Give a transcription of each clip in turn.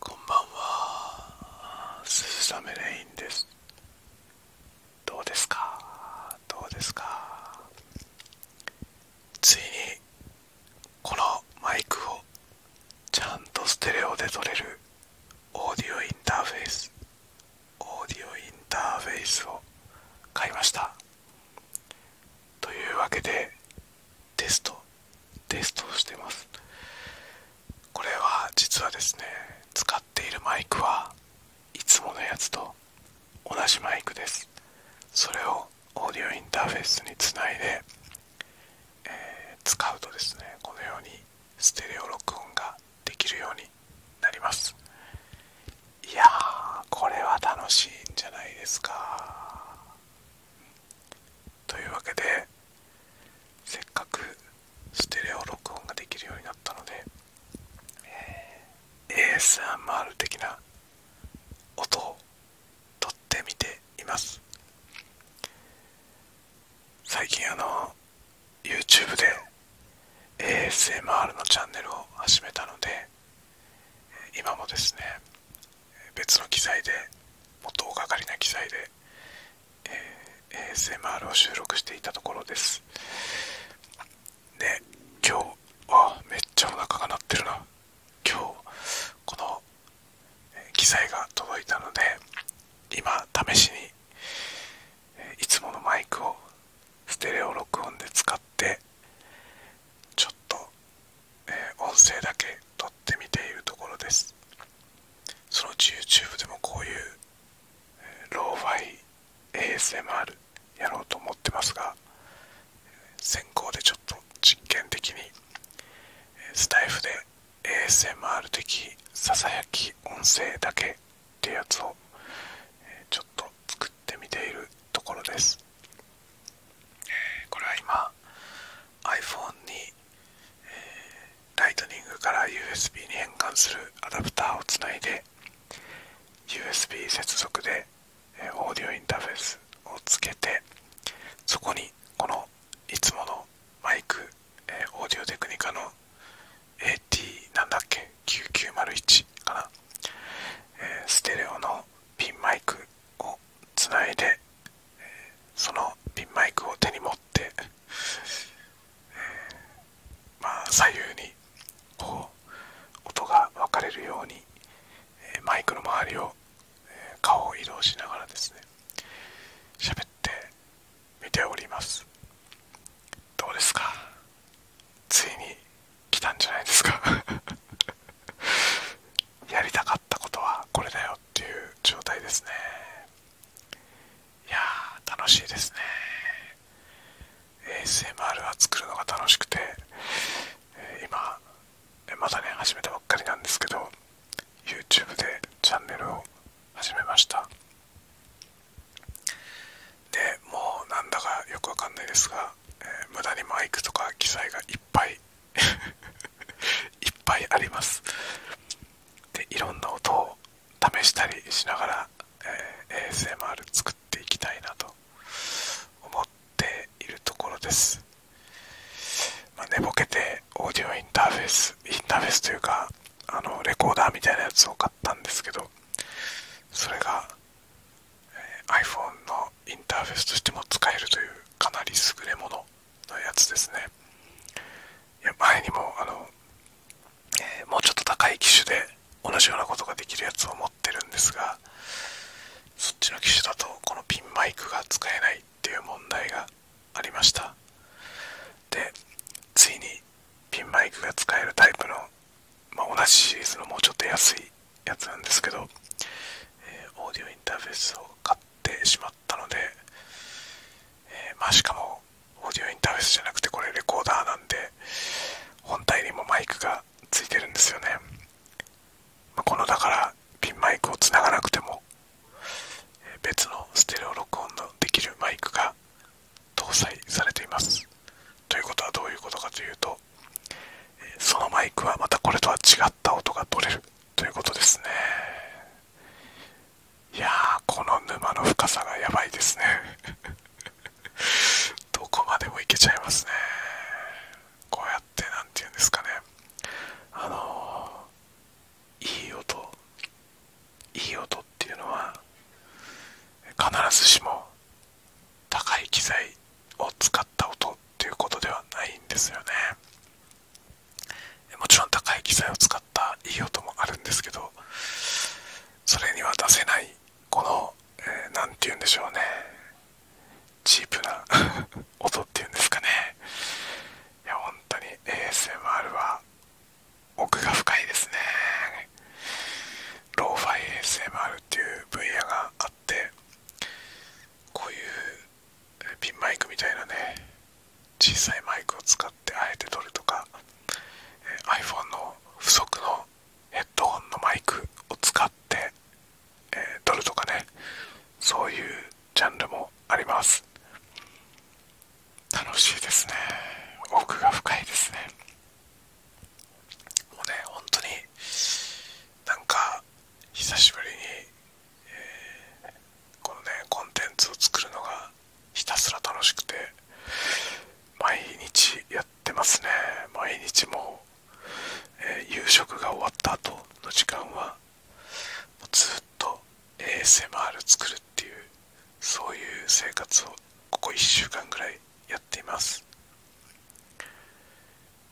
こんばんは鈴雨レインですどうですかどうですかついにこのマイクをちゃんとステレオで撮れるオーディオインターフェースオーディオインターフェースを買いましたというわけでテストテストをしてますこれは実はですね使っているマイクはいつものやつと同じマイクですそれをオーディオインターフェースにつないで、え使うとですねこのようにステレオ録音ができるようになりますいやーこれは楽しいんじゃないですかというわけでせっかくステレオ録音ができるようになったので、え ASMR 的な音を撮ってみています最近あの YouTube で ASMR のチャンネルを始めたので今もですね別の機材でもっとかりな機材で、え ASMR を収録していたところですで今日あめっちゃお腹が鳴ってるな今日この機材が届いたので今試しにいつものマイクをステレオ録音で使っっちょっと、えー、音声だけ撮ってみているところですそのうち YouTube でもこういう、えー、ローファイ ASMR やろうと思ってますが先行でちょっと実験的にスタイフで ASMR 的ささやき音声だけってやつをちょっと作っってているところです。これは今 iPhone に、えー、ライトニングから USB に変換するアダプターをつないで USB 接続で、えー、オーディオインターフェースをつけてそこにこのいつものマイク、えー、オーディオテクニカの AT なんだっけ9901かな、えステレオのピンマイクをつないで、そのピンマイクを手に持って、ま左右にこう音が分かれるように、えマイクの周りを、え顔を移動しながらですね喋って見ておりますどうですかついに来たんじゃないですか やりたかったことはこれだよっていう状態ですねいやー楽しいですね ASMR は作るのが楽しくて、えー、今まだね始めたばっかりなんですけど YouTube でチャンネルを始めましたでもうなんだかよくわかんないですが、え無駄にマイクとか機材がいっぱい いっぱいありますでいろんな音を試したりしながら、え ASMR 作っていきたいなと思っているところです、ま寝ぼけてオーディオインターフェースインターフェースというかあのレコーダーみたいなやつを買ったんですけどそれが、え iPhone のインターフェースとしても使えるというかなり優れもののやつですねいや前にもあの、えもうちょっと高い機種で同じようなことができるやつを持ってるんですがそっちの機種だとこのピンマイクが使えないっていう問題がありましたでついにピンマイクが使えるタイプの、ま同じシリーズのもうちょっと安いやつなんですけど、えオーディオインターフェースを買ってしまったので、えましかもオーディオインターフェースじゃなくてこれレコーダーなんで本体にもマイクがついてるんですよね、まこのだからピンマイクをつながなくても別のステレオ録音のできるマイクが搭載されていますということはどういうことかというとそのマイクはまたこれとは違った音が取れるということですねいやーこの沼の深さがやばいですね どこまでも行けちゃいますねこうやって何て言うんですかねあのいい音いい音っていうのは必ずしも高い機材を使った音っていうことではないんですよねもちろん高い機材を使ったいい音もあるんですけどそれには出せないこの何、えー、て言うんでしょうねチープな 音っていうんですかねいや本当に ASMR は奥が深いですねローファイ ASMR っていう分野があってこういうピンマイクみたいなね小さいマイクを使ってあえて撮るとか iPhone の不足のヘッドホンのマイクを使って、えー、撮るとかねそういうジャンルもあります楽しいですね奥が深いですねもうね本当になんか久しぶりに、このねコンテンツを作るのがひたすら楽しくて毎日やってますね毎日もう、え夕食が終わった後の時間はずっと ASMR 作るっていうそういう生活をここ1週間ぐらいやっています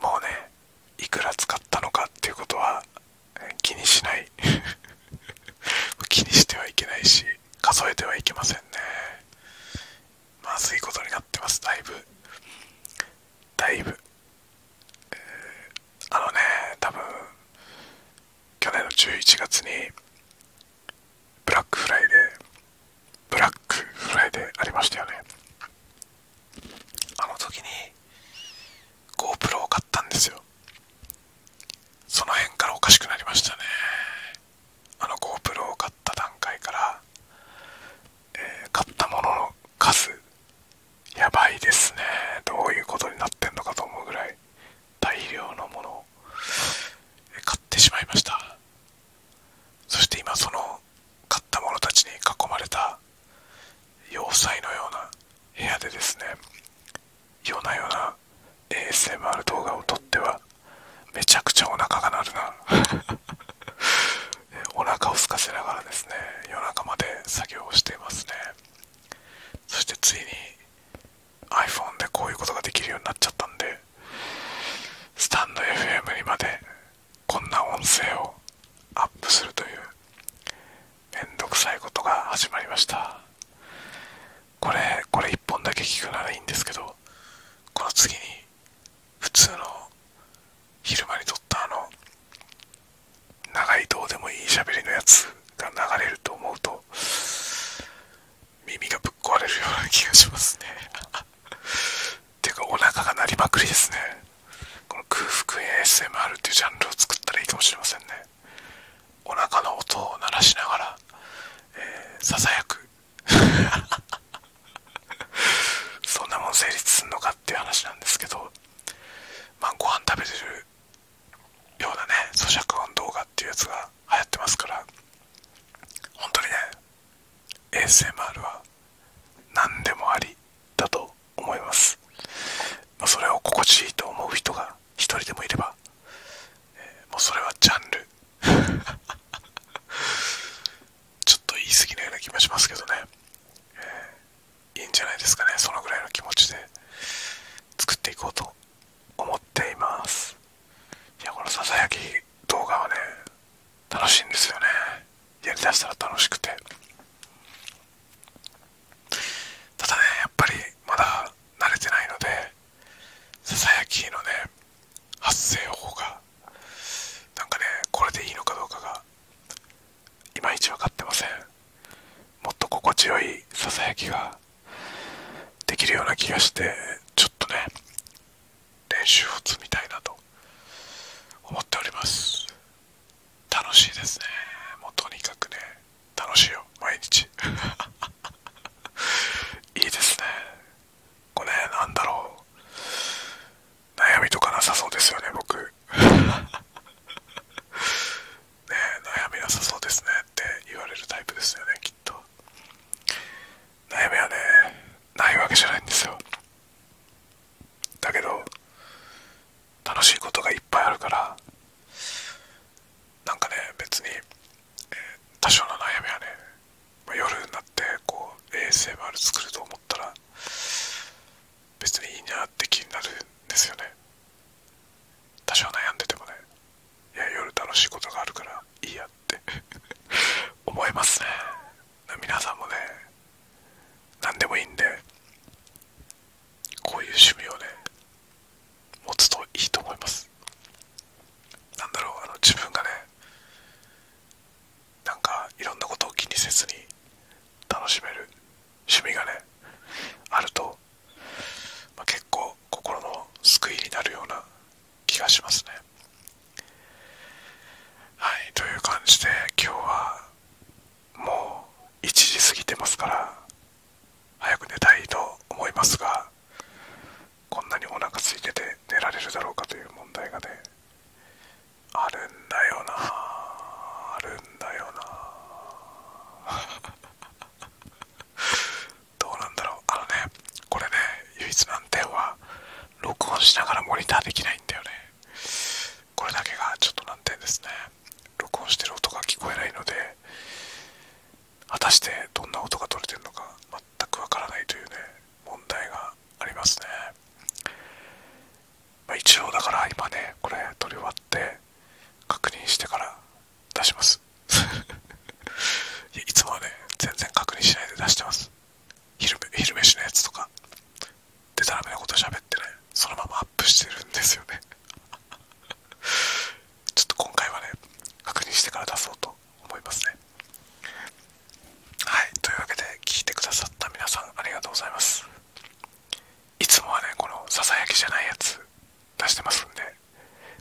もうねいくら使ったのかっていうことは気にしない 気にしてはいけないし数えてはいけませんねまずいことになってますだいぶだいぶあのね多分去年の11月にブラックフライデーブラックフライデーありましたよねあの時に GoPro を買ったんですよその辺からおかしくなりましたねあの GoPro を買った段階から、え買ったものの数やばいですねどういうことになってんのかと思うぐらい大量のものを買ってしまいましたそして今その買った者たちに囲まれた要塞のような部屋でですね夜な夜な ASMR 動画を撮ってはめちゃくちゃお腹が鳴るなお腹を空かせながらですね、夜中まで作業をしていますね。そしてついに iPhone でこういうことができるようになっちゃったんで、スタンド FM にまでこんな音声をアップするという面倒くさいことが始まりました。これ、これ1本だけ聞くならいいんですけど、この次に普通の昼間に撮ったあの長いどうでもいい喋りのやつが流れると思うと耳がぶっ壊れるような気がしますね ていうかお腹が鳴りまくりですねこの空腹 ASMR っていうジャンルを作ったらいいかもしれませんねお腹の音を鳴らしながら、えー、ささやく そんなもん成立すんのかっていう話なんですけど、まあ、ご飯食べてるようなね、咀嚼音動画っていうやつが流行ってますから、本当にね、ASMR は何でもありだと思います。それを心地いいと思う人が1人でもいれば、もうそれはジャンル。ちょっと言い過ぎのような気もしますけどね、いいんじゃないですかねそのぐらいの気持ちで作っていこうと思っていますいやこのささやき動画はね楽しいんですよねやりだしたら楽しくてただねやっぱりまだ慣れてないのでささやきのね発声法がなんかねこれでいいのかどうかがいまいち分かってませんもっと心地よいささやきができるような気がしてちょっとね練習を積みたいなと思っております楽しいですねもうとにかくね楽しいよ毎日 いいですねこれなんだろう悩みとかなさそうですよね僕 ね悩みなさそうですねって言われるタイプですよねきっと悩みはねないわけじゃないんですよだけど楽しいことがいっぱいあるからなんかね別に、え多少の悩みはねま夜になってこう ASMR 作ると思ったら別にいいなって気になるんですよね多少悩んでてもねいや夜楽しいことがあるからいいやって 思いますね皆さんもね何でもいいんでこういう趣味をね持つといいと思いますなんだろうあの自分がねなんかいろんなことを気にせずに楽しめる趣味がねあると、ま結構心の救いになるような気がしますねはいという感じで今日はもう1時過ぎてますから早く寝たいと思いますがこんなにお腹空いてて寝られるだろうかという問題がねあるんだよなあるんだよな どうなんだろうあのねこれね唯一難点は録音しながらモニターできないんだよねこれだけがちょっと難点ですね録音してる音が聞こえないので果たしてどんな音が取れてるのか全くわからないというね問題がありますね、ま一応だから今ねこれ撮り終わって確認してから出します いつもはね全然確認しないで出してます昼昼飯のやつとかでたらめなこと喋ってねそのままアップしてるんですよね ちょっと今回はね確認してから出そうと思いますねはいというわけで聞いてくださった皆さんありがとうございますいつもはねこのささやきじゃないやつ出してますんで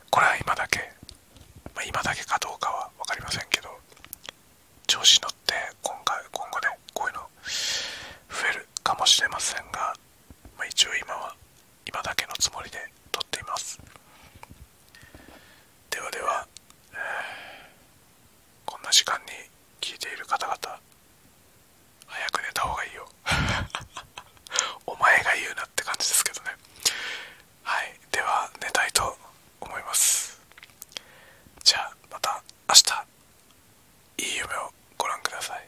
これは今だけ、ま今だけかどうかは分かりませんけど調子乗って今回今後ねこういうの増えるかもしれませんが、ま一応今は今だけのつもりで撮っていますではでは、こんな時間に聞いている方々早く寝た方がいいよ お前が言うなって感じですけどねはいでは寝たいと思いますじゃあまた明日いい夢をご覧ください